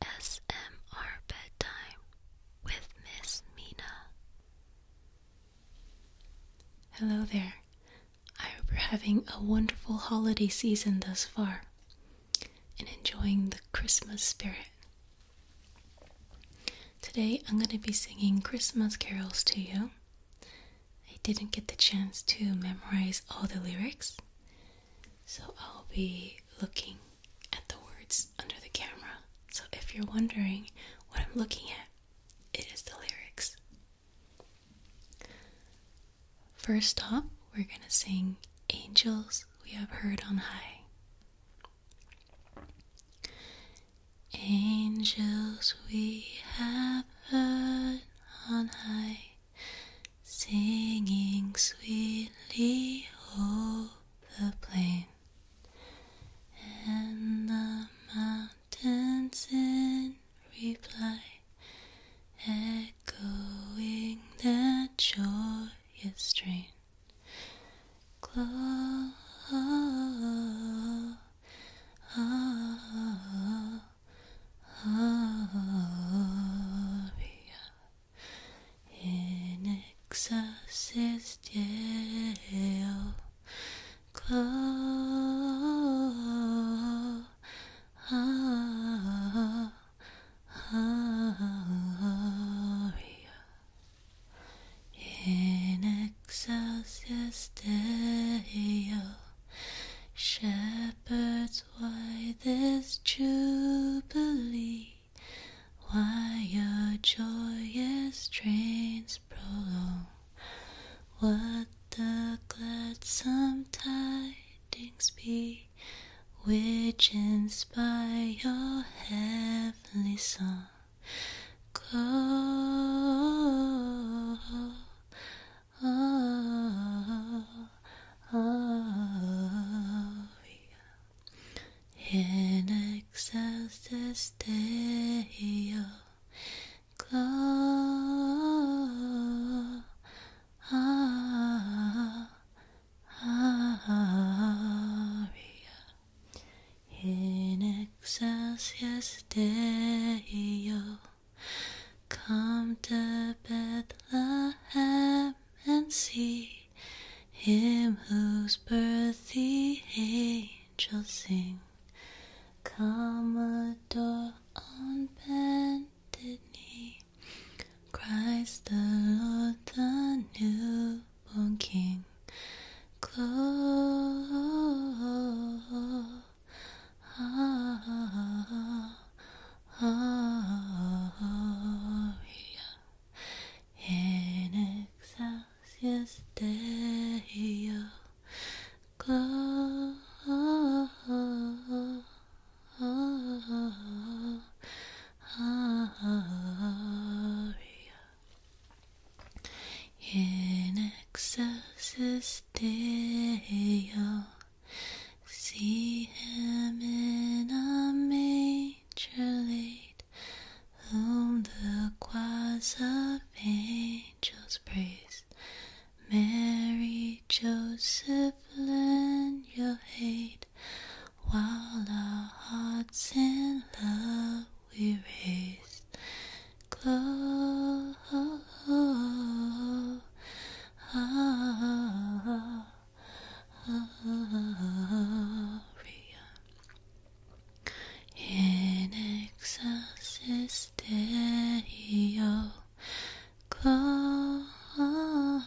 ASMR Bedtime with Miss Mina. Hello there. I hope you're having a wonderful holiday season thus far and enjoying the Christmas spirit. Today I'm going to be singing Christmas carols to you. I didn't get the chance to memorize all the lyrics, so I'll be looking at the words under the camera. So if you're wondering what I'm looking at, it is the lyrics. First off, we're going to sing Angels We Have Heard on High. Angels we have heard on high singing sweetly o'er the plain and the mountains in reply, echoing that joyous strain. Gloria, in exorcist Yale. Close. in exorcist Deo, shepherds why this jubilee, why your joyous trains prolong. What the gladsome tidings be, which inspire your heavenly song. Call, oh, oh, oh, oh oh, In excess desteo glow. In excess desteo. Come to Bethlehem and see him whose birth the angels sing. Commodore on bended knee, Christ the Lord, the newborn King. Close. Ah, ah, Oh, yeah. In excelsis Deo. Gloria. In excelsis Deo. See him in a major league, whom the choirs of angels praise. Mary, Joseph, lend your aid, while our hearts in love we raise. Glow. Ah, ah, ah, aria in excelsis Deo gloria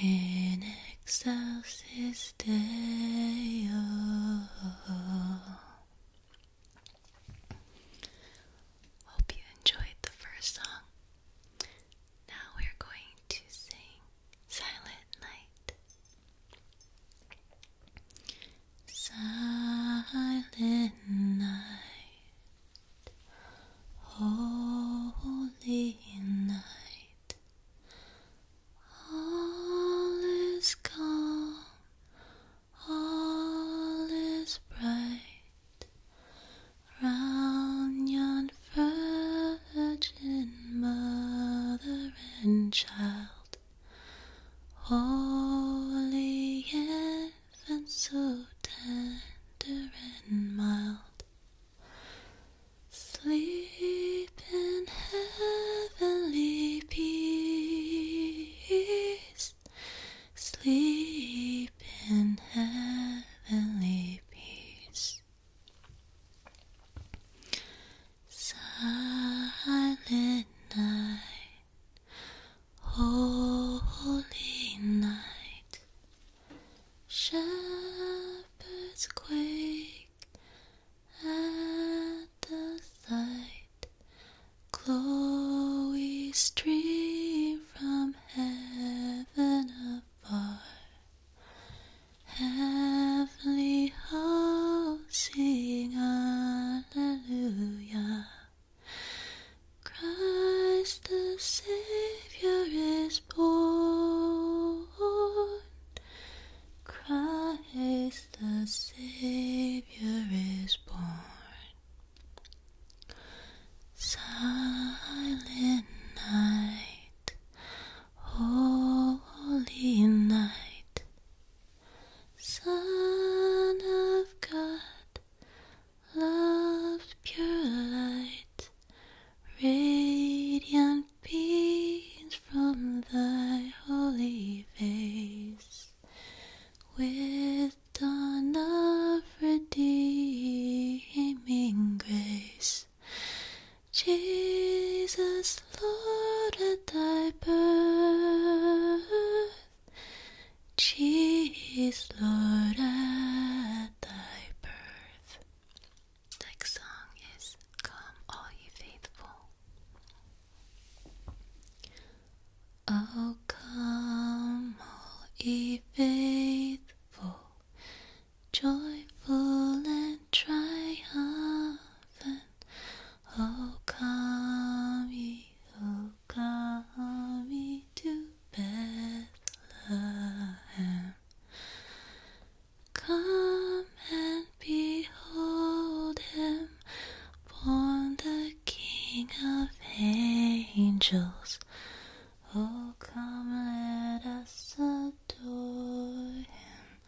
in excelsis Deo uh-huh. Hope you enjoyed the first song. Now we're going to sing Silent Night. Silent night, holy night, all is calm, all is bright round yon virgin mother and child. Holy infant, so tender and mild. Sleep in heavenly peace. Sleep in heavenly peace. Silent night, holy night. Shepherds quake at the sight. Chloe stream from heaven afar. Heavenly hosts sing Alleluia. Christ the Savior is born. Christ the Savior is born. Silent night, holy night, Son of God, love pure light, radiant beams from thy holy face with dawn of redeeming grace. Jesus, Lord, at thy birth, Jesus, Lord, at thy birth. Next song is Come All Ye Faithful. Oh, come, all ye faithful, joyful and triumphant. Oh, come ye, oh, come ye to Bethlehem. Come and behold him, born the King of angels. Oh, come, let us adore him.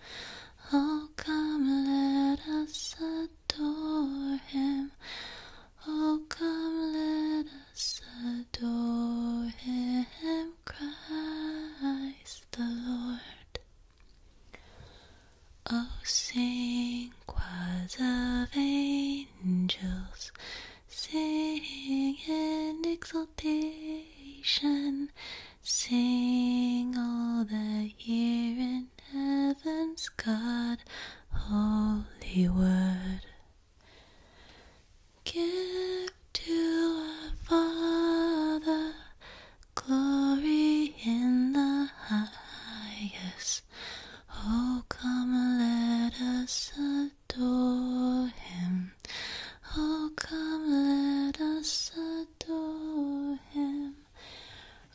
Oh, come, let us adore him. Oh, come, let us adore him, Christ the Lord. O sing, choirs of angels, sing in exultation, sing all the year in heaven's God, holy word. Give to our Father glory in the highest. Oh, come, let us adore him. Oh, come, let us adore him.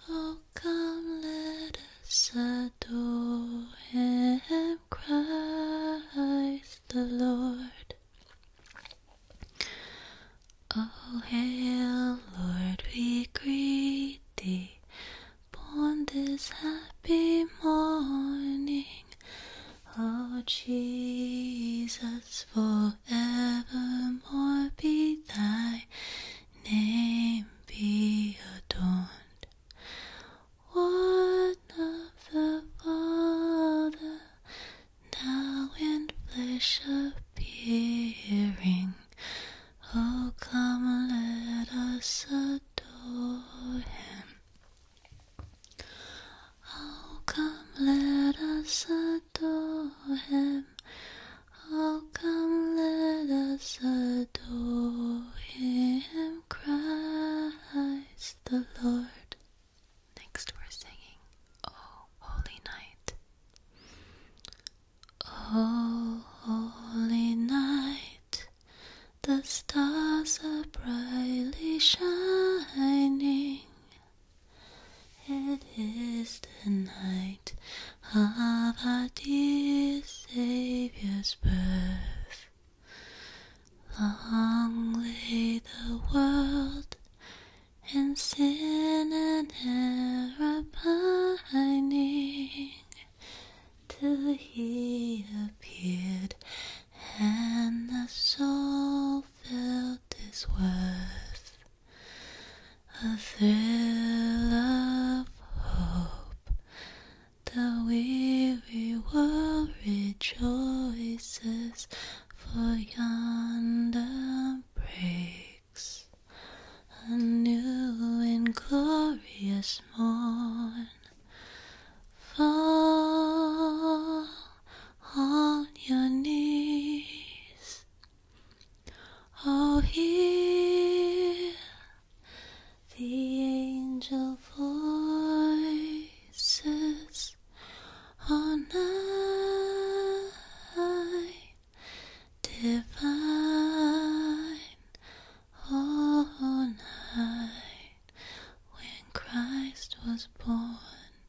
Oh, come, let us adore him, Christ the Lord. Oh, hail, Lord, we greet thee born this happy morning. Oh, Jesus, forevermore be thy name be adorned. One of the Father, now in flesh appearing. Oh, come, let us adore him. Oh, come, let us adore him. Oh, come, let us adore him, Christ the Lord. Next, we're singing Oh Holy Night. Oh, Holy Night, the stars are brightly shining. It is the night of our dear Saviour's birth. Long lay the world and sin and error pining till he appeared and the soul felt his worth a thrill of hope the weary world rejoices for yonder breaks a new and glorious morn. Fall on your knees, oh, hear the angel voices on night divine all night when Christ was born.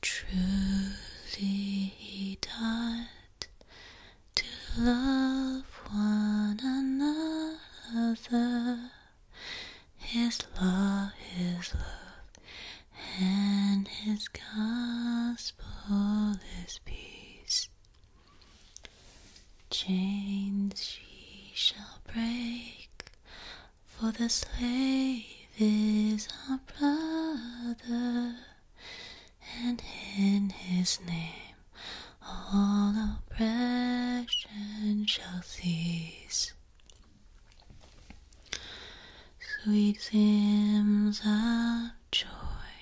Truly, he died to love one another. His love, His love, and His gospel is peace. Chains she shall break, for the slave is our brother, and in His name all oppression shall cease. Sweet hymns of joy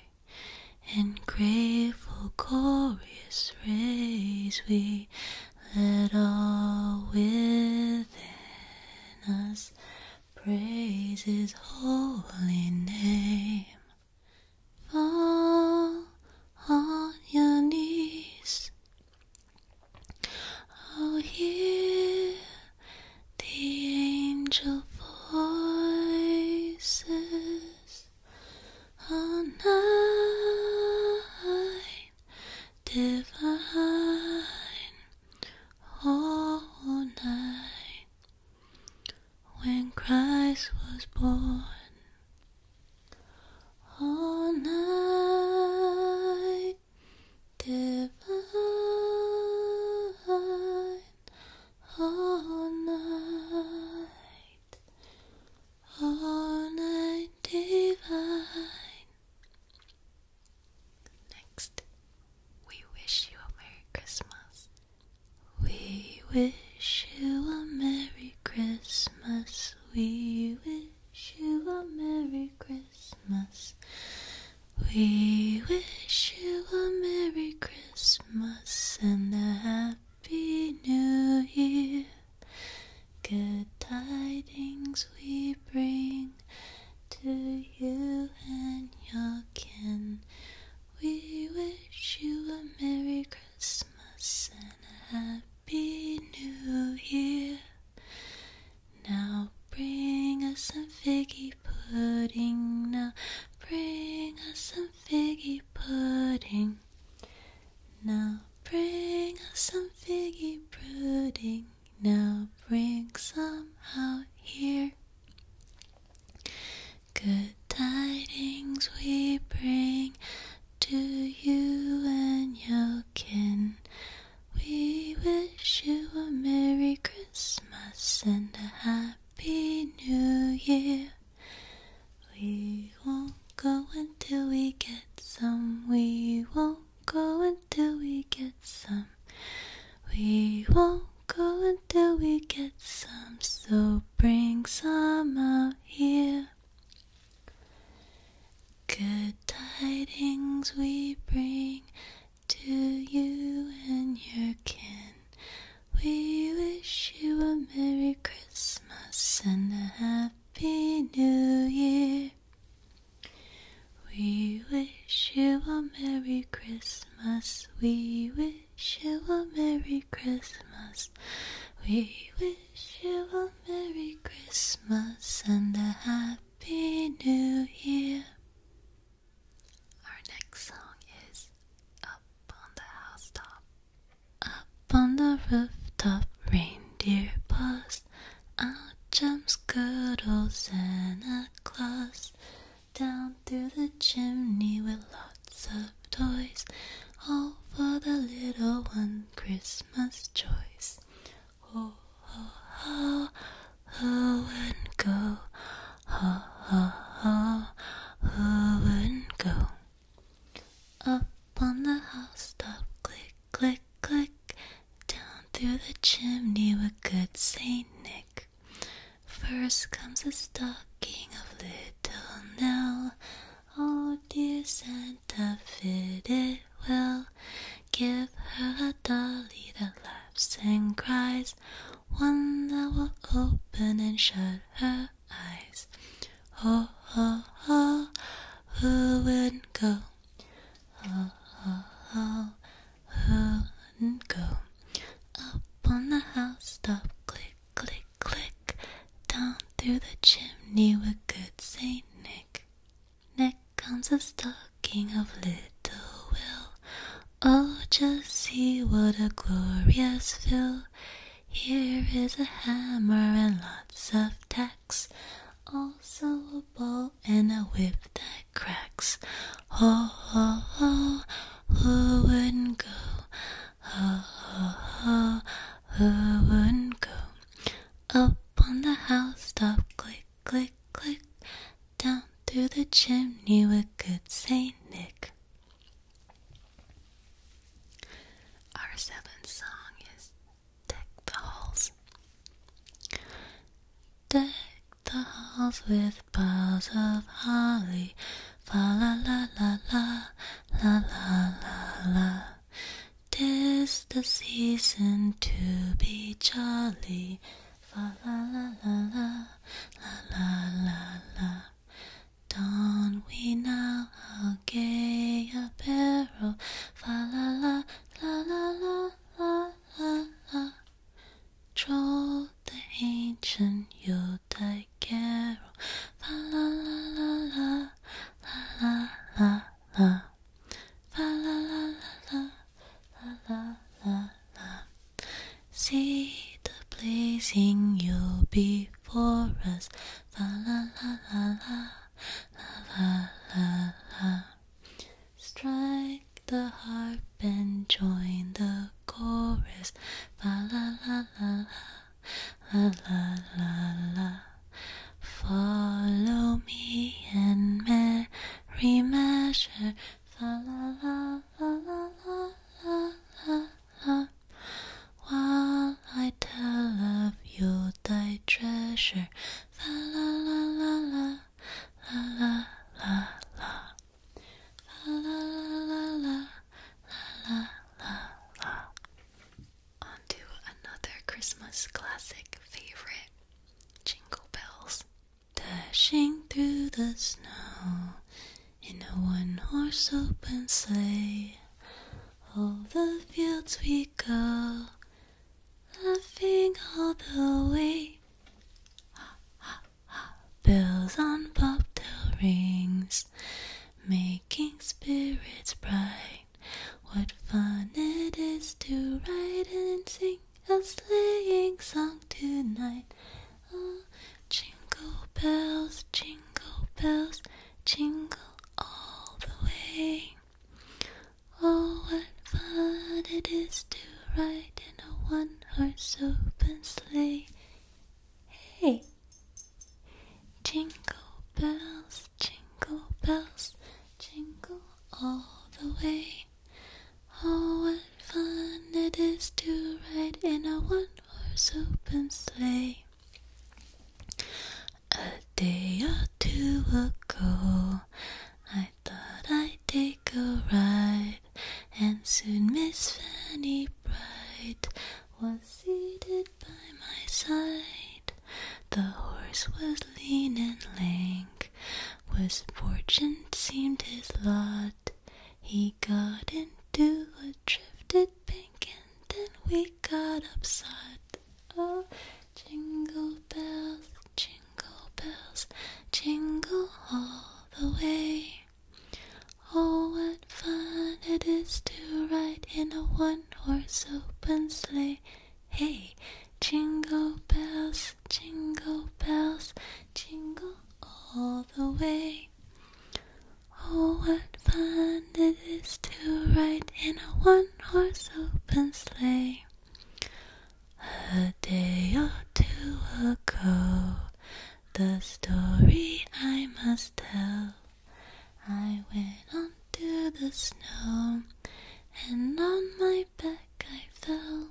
and grateful, glorious praise we let all within us praise His holy name. Fall on your knees Oh, hear the angel voices all night, divine, all night. When Christ was born, all night divine, all night, all night divine. Next, we wish you a Merry Christmas. We wish you a Merry Christmas. We wish wish you a Merry Christmas. We wish you a Merry Christmas and a Happy New Year. Good tidings we bring to you and your kin. We wish you a Merry Christmas and a happy new year. Now bring us some figgy pudding. Now bring us some figgy pudding. Now bring us some figgy pudding. Now bring some out here. Good tidings we bring to you and your kin. We wish you a Merry Christmas and a Happy New Year. We won't go until we get some. We won't go until we get some. We won't go until we get some. So bring some out here. Good tidings we bring to you and your kin. We wish you a Merry Christmas and a Happy New Year. We wish you a Merry Christmas. We wish you a Merry Christmas. We wish wish you a Merry Christmas and a Happy New Year. Our next song is Up on the Housetop. Up on the rooftop, reindeer paused. Out jumps good old Santa Claus. Down through the chimney with lots of toys, all for the little ones. Christmas joys. oh, ho, ho, ho and go. Oh, ho, ho, ho and go. Up on the housetop, click, click, click. Down through the chimney with good Saint Nick. First comes the stocking of little Nell. Oh, dear Santa scent it, will give her a dolly that laughs and cries, one that will open and shut her eyes. Oh, oh, oh, who wouldn't go? Oh, oh, oh, who wouldn't go? Up on the housetop, click, click, click, down through the chimney with good Saint Nick neck. comes a stocking of little will. Oh, just see what a glorious fill. Here is a hammer and lots of tacks. Also a ball and a whip that cracks. Ho, ho, ho, who wouldn't go? Ho, ho, who wouldn't go? Up on the house top, click, click, click. Down through the chimney with good Saint Nick. Our seventh song is Deck the Halls. Deck the halls with boughs of holly. Fa la la la la, la la la la. 'Tis the season to be jolly. Fa la la la la la la la la. Don we now our gay apparel? Fa la la la la la la la la. Troll the ancient Yodai carol. Fa la la la la la la la la la la la la la la la See the blazing you before us la la la la la la la la Strike the harp and join the chorus la la la la la la la la la. Follow me and merry measure, fa la la la la la la la la. While I tell of you thy treasure, fa la la la la la la la la. La la la la la la la la. On another Christmas classic favorite, Jingle Bells. Dashing through the snow in a one horse open sleigh, all the fields we go, laughing all the way. Ha, ha, ha. Bells on bobtail rings, making spirits bright. What fun it is to ride and sing a sleighing song tonight. Oh, jingle bells, jingle bells, jingle all the way. Oh, what fun it is to ride in a one horse open sleigh. Hey! Jingle bells, jingle bells, jingle all the way. Oh, what fun it is to ride in a one horse open sleigh. A day or two ago, I thought I'd take a ride, and soon Miss Fanny Bright was seated by my side. The horse was lean and lank, was fortune seemed his lot. He got into a drifted bank, and then we got upset. Oh, jingle bells, jingle bells, jingle all the way. Oh, what fun it is to ride in a one one horse open sleigh. Hey, jingle bells, jingle bells, jingle all the way. Oh, what fun it is to ride in a one horse open sleigh. A day or two ago, the story I must tell I went onto the snow, and on my back I fell.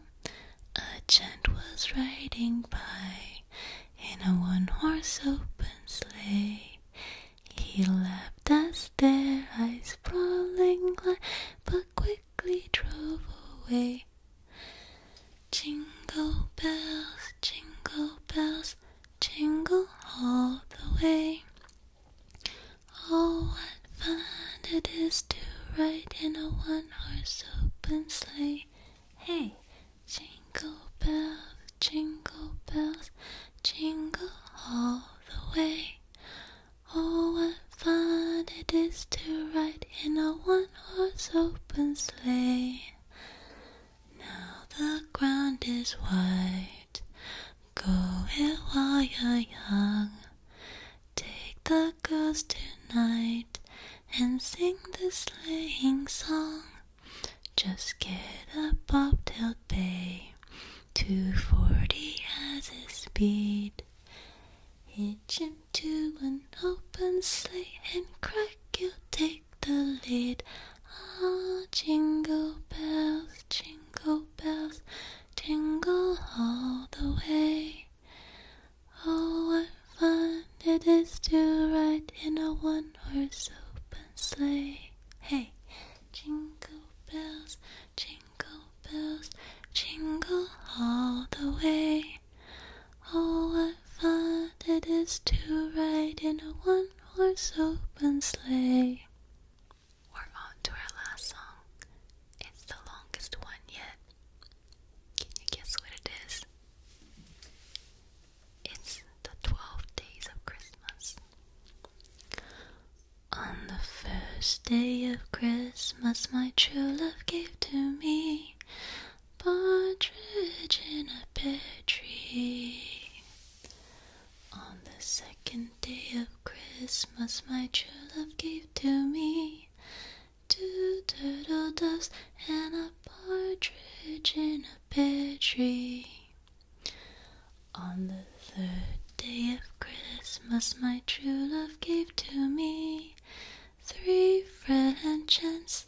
A gent was riding by in a one horse open sleigh. He laughed as there I sprawling lay, but quickly drove away. Jingle bells, jingle bells, jingle all the way. Oh, what fun it is to ride in a one horse open sleigh! Hey, jingle bells, jingle bells, jingle all the way. Oh, what fun it is to ride in a one horse open sleigh! Now the ground is white. Go it while you're young. Take the girls tonight and sing the sleighing song. Just get a bobtail bay, 240 as his speed. Hitch him to an open sleigh and crack, your teeth the lid. Ah, jingle bells, jingle bells, jingle all the way. Oh, what fun it is to ride in a one horse open sleigh. Hey, jingle bells, jingle bells, jingle all the way. Oh, what fun it is to ride in a one horse, open sleigh. We're on to our last song. It's the longest one yet. Can you guess what it is? It's the 12 days of Christmas. On the first day of Christmas, my true love gave to me partridge in a pear tree. On the second day of Christmas, my true love gave to me two turtle doves and a partridge in a pear tree. On the third day of Christmas, my true love gave to me three French hens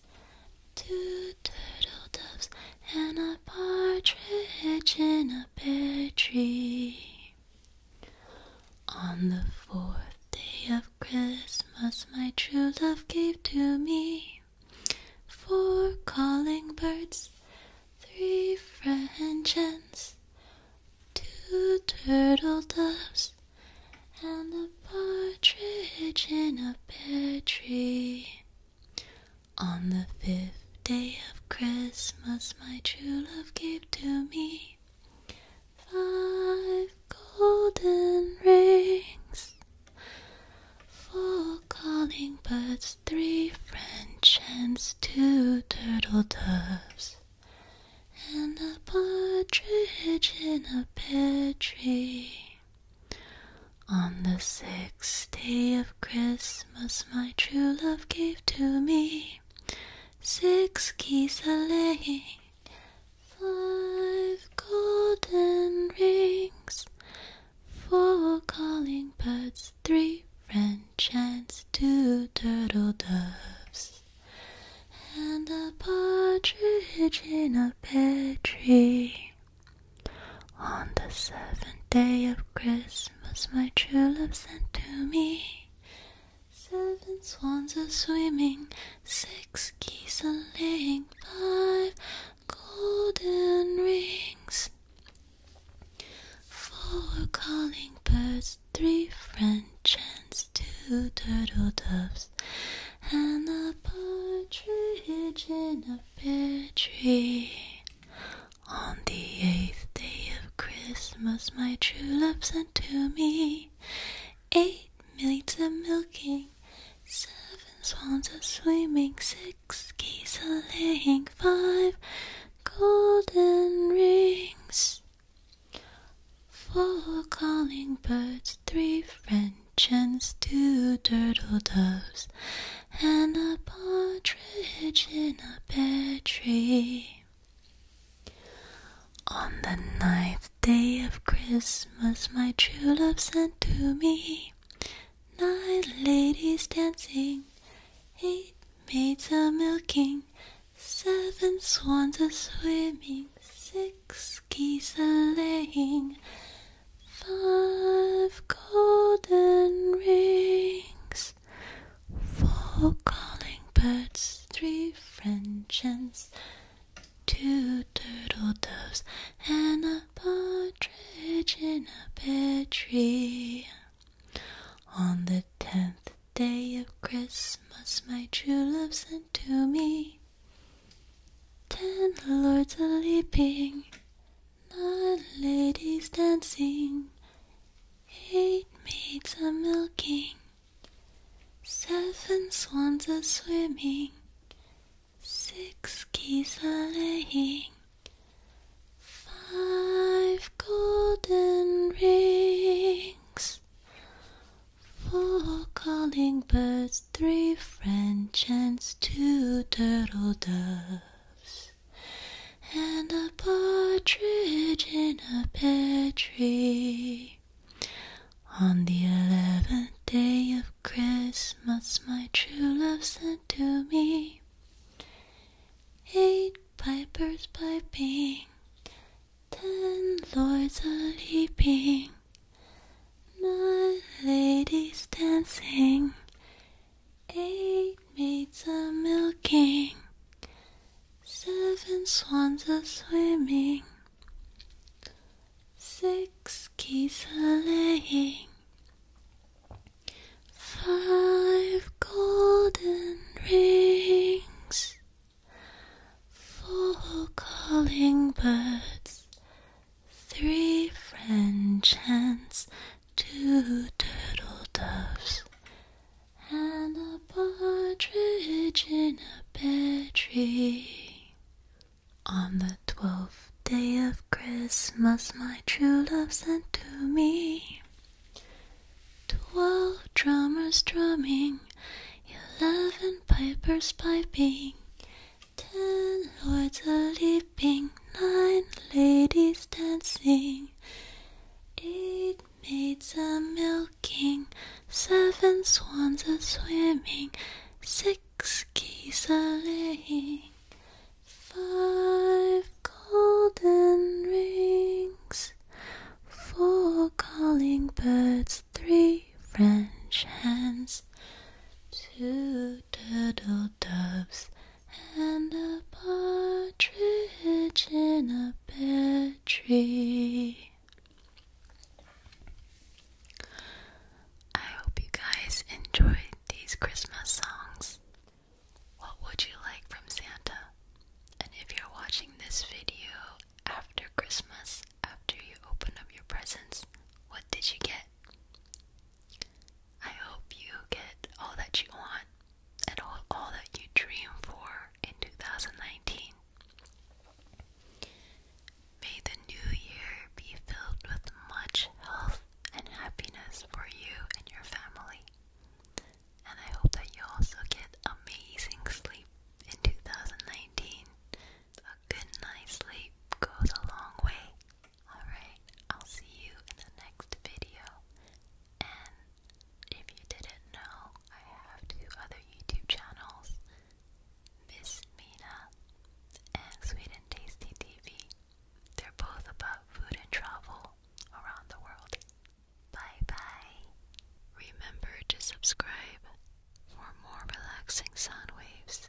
Two turtle doves and a partridge in a pear tree. On the fourth day of Christmas, my true love gave to me four calling birds, three French hens, two turtle doves, and a partridge in a pear tree. On the fifth day of Christmas, my true love gave to me five golden rings, four calling birds, three French hens, two turtle doves, and a partridge in a pear tree. On the sixth day of Christmas, my true love gave to me six geese a laying, five golden rings, four calling birds, three French hens, two turtle doves, and a partridge in a pear tree. On the seventh day of Christmas, my true love sent to me seven swans a swimming, six geese a laying, five golden rings, four calling birds, three French hens, two turtle doves, and a partridge in on the eighth day of Christmas, my true love sent to me eight maids a milking, seven swans a swimming, six geese a laying, five golden rings. Four calling birds, three friends chance two turtle doves and a partridge in a pear tree. On the ninth day of Christmas, my true love sent to me nine ladies dancing, eight maids a milking, seven swans a swimming, six geese a laying. Five golden rings, four calling birds, three French hens, two turtle doves, and a partridge in a pear tree. On the tenth day of Christmas, my true love sent to me ten lords a leaping my ladies dancing, eight maids are milking, seven swans are swimming, six geese are laying, five golden rings, four calling birds three French hens, two turtle doves, and a partridge in a pear tree. On the eleventh day of Christmas, my true love sent to me eight pipers piping, ten lords a leaping. My ladies dancing, eight maids are milking, seven swans are swimming, six geese are laying, five golden rings, four calling birds. Three French hens, two turtle doves, and a partridge in a pear tree. On the twelfth day of Christmas, my true love sent to me twelve drummers drumming, eleven pipers piping, Ten lords are leaping, nine ladies dancing, eight maids are milking, seven swans are swimming, six geese are laying, five golden rings, four calling birds, three French hens, two turtles doves and a partridge in a pear tree. I hope you guys enjoyed these Christmas songs. What would you like from Santa? And if you're watching this video after Christmas, after you open up your presents, what did you get? I hope you get all that you want and all, all that you dream for in 2019. May the new year be filled with much health and happiness for you and your family. And I hope that you also get amazing sleep in 2019. A good night's sleep goes a long way Alright, I'll see you in the next video. And if you didn't know, I have two other YouTube channels Miss Mina and Sweet Tasty TV. They're both about food and travel around the world. Bye bye. Remember to subscribe for more relaxing sound waves.